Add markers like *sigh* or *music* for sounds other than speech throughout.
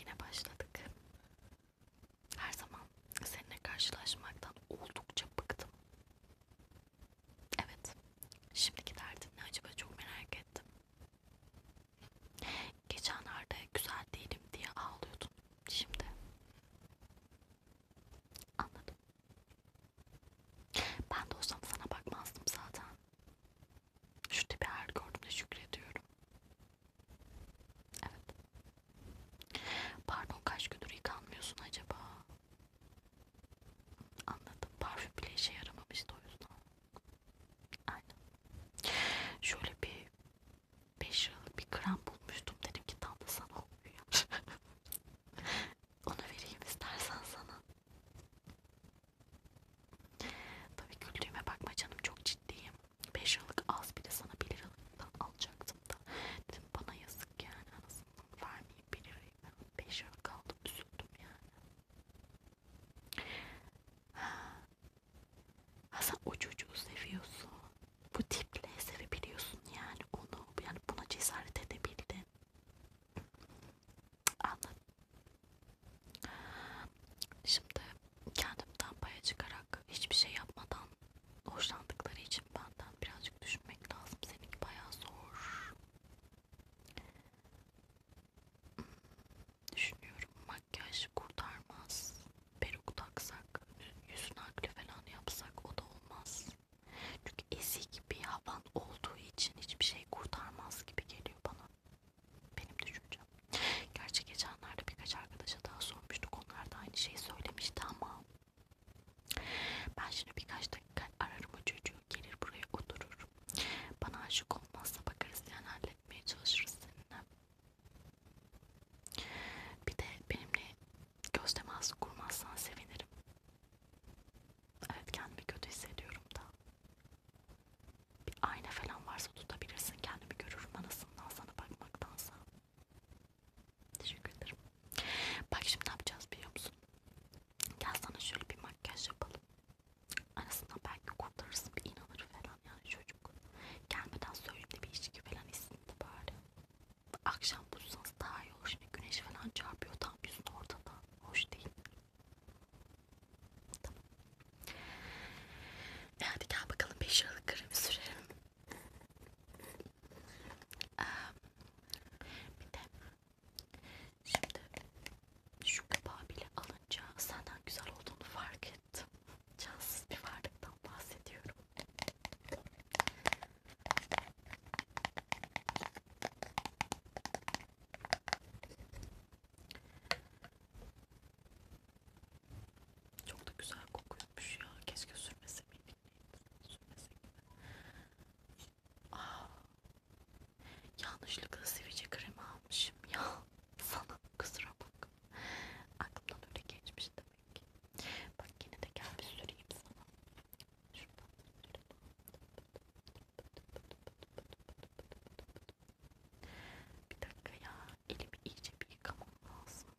Yine başladık. Her zaman seninle karşılaşmaktan oldukça bıktım. Evet. Şimdiki derdin ne acaba çok merak ettim. Geçenlerde güzel değilim diye ağlıyordun. Şimdi anladım. Ben de olsam sana bakmazdım zaten. Şu tipi her gördüğümde şükrediyorum. Evet. Pardon kaç gündür yıkanmıyorsun acaba? Anladım. Parfüm bile işe yaramamıştı o yüzden. Aynen. Şöyle bir 5 liralık bir krem bulmuştum. Dedim ki tam da sana oluyor. *laughs* Onu vereyim istersen sana. Tabii güldüğüme bakma canım çok ciddiyim. 5 yıllık az bile sana 1 liralıktan alacaktım da. Dedim bana yazık yani anasından vermeyeyim 1 lirayı. 5 yıllık aldım üzüldüm yani. Ha, sen o çocuğu seviyorsun. Bu tiple sevebiliyorsun yani onu. Yani buna cesaret edebildin. Anladım. Şimdi kendimden paya çıkarak hiçbir şey yapmadan hoşlandıkları için benden birazcık düşünmek lazım. Seninki bayağı zor. Hmm, düşünüyorum makyaj kurtarmaz. Peruk taksak, yüzüne aklı falan yapsak o da olmaz. Çünkü ezik bir havan olduğu için hiçbir şey kurtarmaz gibi geliyor bana. Benim düşüncem. Gerçi geçenlerde birkaç arkadaşa daha sormuştuk. Onlar da aynı şeyi söylemişti ama ben şimdi birkaç dakika ararım o çocuğu. Gelir buraya oturur. Bana aşık olmazsa bakarız yani halletmeye çalışırız seninle. Bir de benimle göz teması kurmazsan sevinirim. Evet kendimi kötü hissediyorum da. Bir ayna falan varsa tutabilirsin. Kendimi görürüm anasından sana bakmaktansa. Teşekkür ederim. Bak şimdi ne yapacağız biliyor musun? Gel sana şöyle bir makyaj yapalım. Anasından belki kurtarırsın bir inanır falan yani çocuk. Gelmeden söyleyeyim de bir içki falan içsin de bari. Akşam bulsanız daha iyi olur. Şimdi güneş falan çarpıyor tam yüzün ortada. Hoş değil. Tamam. E hadi gel bakalım 5 liralık kremi sürelim. Ee, bir de şimdi şu kapağı bile alınca senden güzel olduğunu fark ettim. Cansız bir varlıktan bahsediyorum. Çok da güzel kokuyormuş ya. Keşke sürmese miydik? Sürmese Aa, ah. yanlışlıkla sivilce kremi almışım ya. Sana kusura bak. Aklımdan öyle geçmiş demek. Bak yine de gel bir süreyim sana. Bir dakika ya elimi iyice bir yıkamam lazım.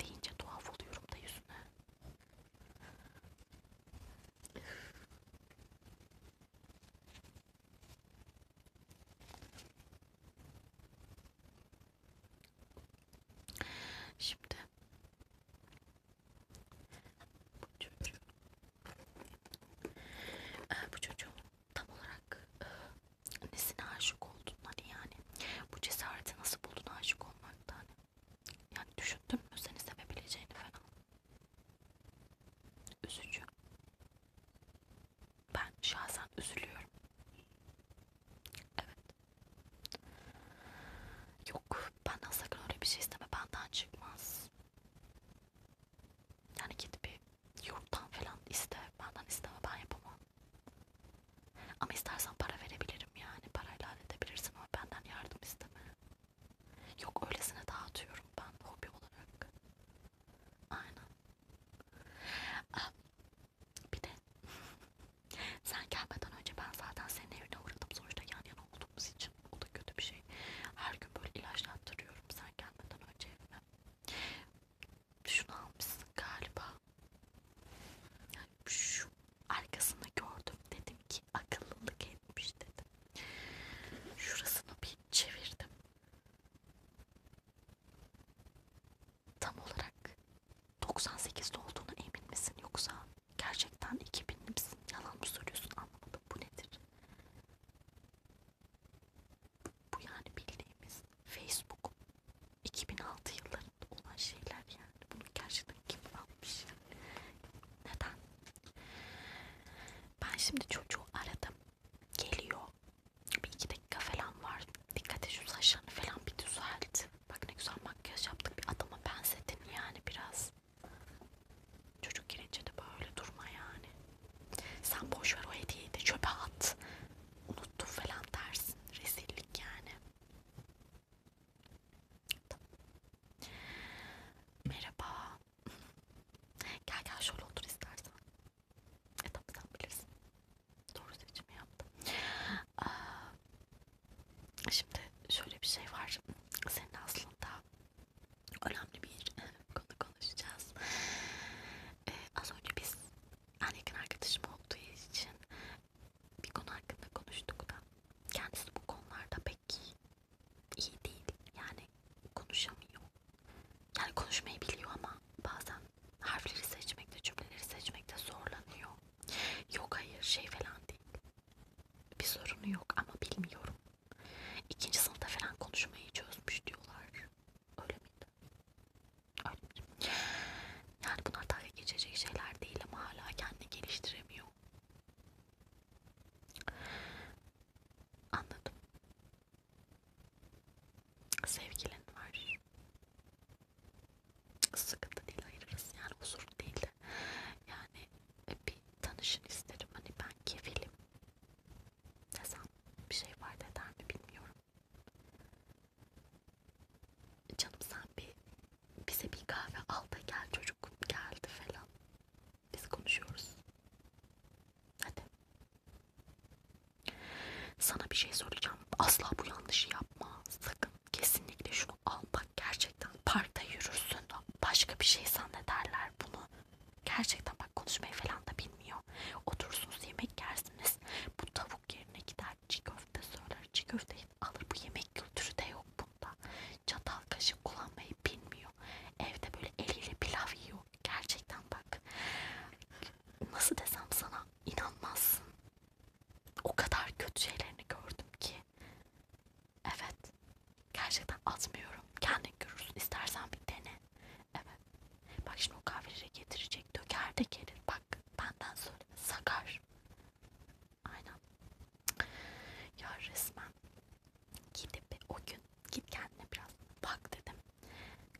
Deyince tuhaf oluyorum da yüzüne. Şimdi bu çocuğu ee, bu çocuğun tam olarak e, nesine aşık oldun hani yani bu cesareti nasıl buldun aşık olmaktan hani? yani düşündün mü seni sevebileceğini falan üzücü ben şahsen üzülüyorum Evet. Yok. Benden sakın öyle bir şey isteme. Benden çıkmaz. Yani git bir yurttan falan iste. Benden isteme. Ben yapamam. Ama istersen para verebilirim yani. Parayla halledebilirsin ama benden yardım isteme. Yok öylesine dağıtıyorum ben hobi olarak. Aynen. Aa, bir de sen gelmeden önce ben zaten senin evine uğradım. Sonuçta yan yana olduğumuz için o da kötü bir şey. Her gün böyle ilaçlattırıyorum sen gelmeden önce evime. Şunu almışsın galiba. Yani şu arkasını gördüm dedim ki akıllılık etmiş dedim. Şurasını bir çevirdim. Tam olarak 98'de olduğuna emin misin yoksa gerçekten 2000'li misin? Yalan mı soruyorsun anlamadım. Bu nedir? Bu yani bildiğimiz Facebook 2006 yıllarında olan şeyler yani. Bunu gerçekten kim almış yani? Neden? Ben şimdi çocuğu aradım. Geliyor bir iki dakika falan var. Dikkat et şu saçlarını falan bir düzelt. Bak ne güzel makyaj yaptık. Bir adama benzetin yani biraz. Çocuk girince de böyle durma yani. Sen boş ver o hediyeyi de çöpe at. Unuttum falan dersin. Rezillik yani. Tamam. Merhaba. Gel gel şöyle otur istersen. E tabi sen bilirsin. Doğru seçimi yaptım. Aa, şimdi şöyle bir şey var. Senin aslında önemli bir *laughs* konu konuşacağız. Ee, az önce biz en yakın arkadaşım olduğu için bir konu hakkında konuştuk da kendisi bu konularda pek iyi değil. Yani konuşamıyor. Yani konuşmayı biliyor ama bazen harfleri seçmekte, cümleleri seçmekte zorlanıyor. Yok hayır şey falan değil. Bir sorunu yok ama bilmiyorum. İkinci sınıfta falan konuşmayı çözmüş diyorlar. Öyle miydi? Öyle miydi? Yani bunlar dalga geçecek şeyler değil ama hala kendini geliştiremiyor. Anladım sevgilin var sıkıntı değil ayırırız yani huzur değil de yani e, bir tanışın isterim hani ben kefilim desem bir şey fayda eder mi bilmiyorum canım sen bir bize bir kahve al da gel çocuk geldi falan biz konuşuyoruz Hadi. Sana bir şey söyleyeceğim. Asla bu yanlışı yapma. Sakın kesinlikle şunu al. Bak gerçekten parkta yürürsün. Başka bir şey zannederler bunu. Gerçekten bak konuşmayı falan da bilmiyor. Oturursunuz yemek yersiniz. Bu tavuk yerine gider çiğ köfte söyler. Çiğ köfteyi alır. Bu yemek kültürü de yok bunda. Çatal kaşık kullanmayı bilmiyor. Evde böyle eliyle pilav yiyor. Gerçekten bak nasıl desem sana inanmazsın. O kadar kötü şeylerini gördüm ki. Evet. Gerçekten atmıyorum. Kendin görürsün. İstersen bir dene. Evet. Bak şimdi o kahveleri getirecek. Döker de gelir. Bak benden söyleme. Sakar. Aynen. Ya resmen gidip o gün git kendine biraz bak dedim.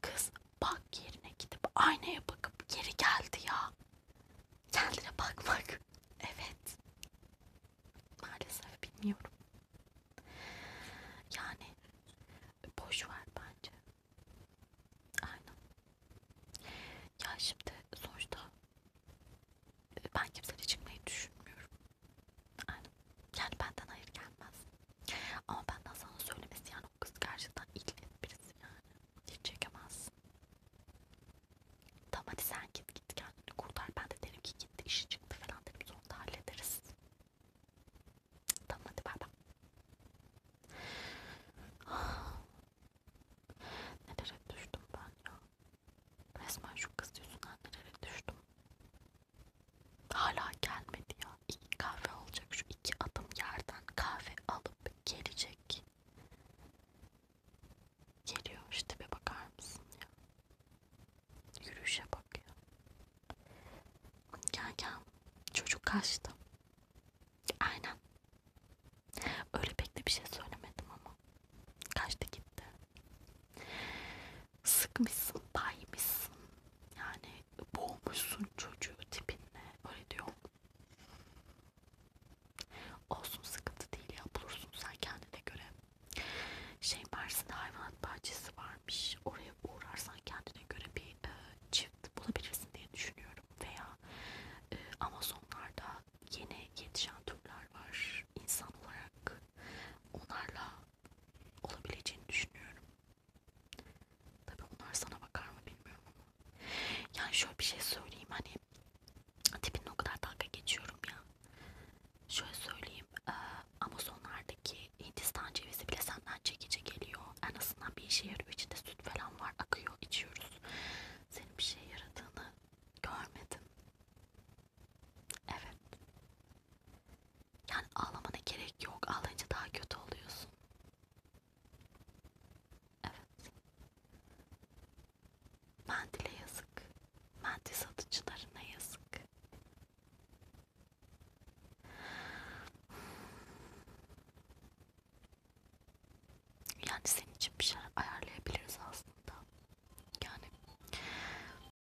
Kız bak yerine gidip aynaya bakıp geri geldi ya. Kendine bakmak. Evet. Maalesef bilmiyorum. Yani boş ver bence. Aynen. Ya şimdi sonuçta ben kimseyle çıkmayı düşünmüyorum. Aynen. Yani benden hayır gelmez. Ama benden sana söylemesi yani o kız gerçekten ilgili birisi yani. Hiç çekemezsin. Tamam hadi sen git git kendini kurtar. Ben de derim ki gitti işi çıktı falan derim. Sonra da hallederiz. Tamam hadi bay bay. *sighs* Nelere düştüm ben ya. Resmen şu kız yüzünden nereye düştüm. Hala gelmedi ya. İki kahve olacak. Şu iki adım yerden kahve alıp gelecek. Geliyor işte bir bakar mısın ya. Yürüyüşe bak ya. Gel gel. Çocuk kaçtı. Aynen. Öyle pek de bir şey söylemedim ama. Kaçtı gitti sıkmışsın, baymışsın. Yani boğmuşsun çocuğu tipinle. Öyle diyor. Olsun sıkıntı değil ya. Bulursun sen kendine göre. Şey Mersin'de hayvanat bahçesi varmış. Oraya uğrarsan kendine göre bir e, çift bulabilirsin diye düşünüyorum. Veya e, Amazonlarda yeni yetişen türler var. İnsan olarak onlarla olabileceğini düşünüyorum. Tabii onlar sana bakar mı bilmiyorum ama. Yani şöyle bir şey söyleyeyim hani tipinle o kadar dalga geçiyorum ya. Şöyle söyleyeyim e, Amazonlardaki Hindistan cevizi bile senden çekici geliyor. En azından bir işe yarıyor. İçinde süt falan var akıyor içiyoruz. Senin bir şeye yaradığını görmedim. Evet. Yani ağlamana gerek yok. Ağlayınca daha kötü oluyorsun. Evet. Mendile yazık. Mendil satıcılarına yazık. Yani senin için bir şey ayarlayabiliriz aslında. Yani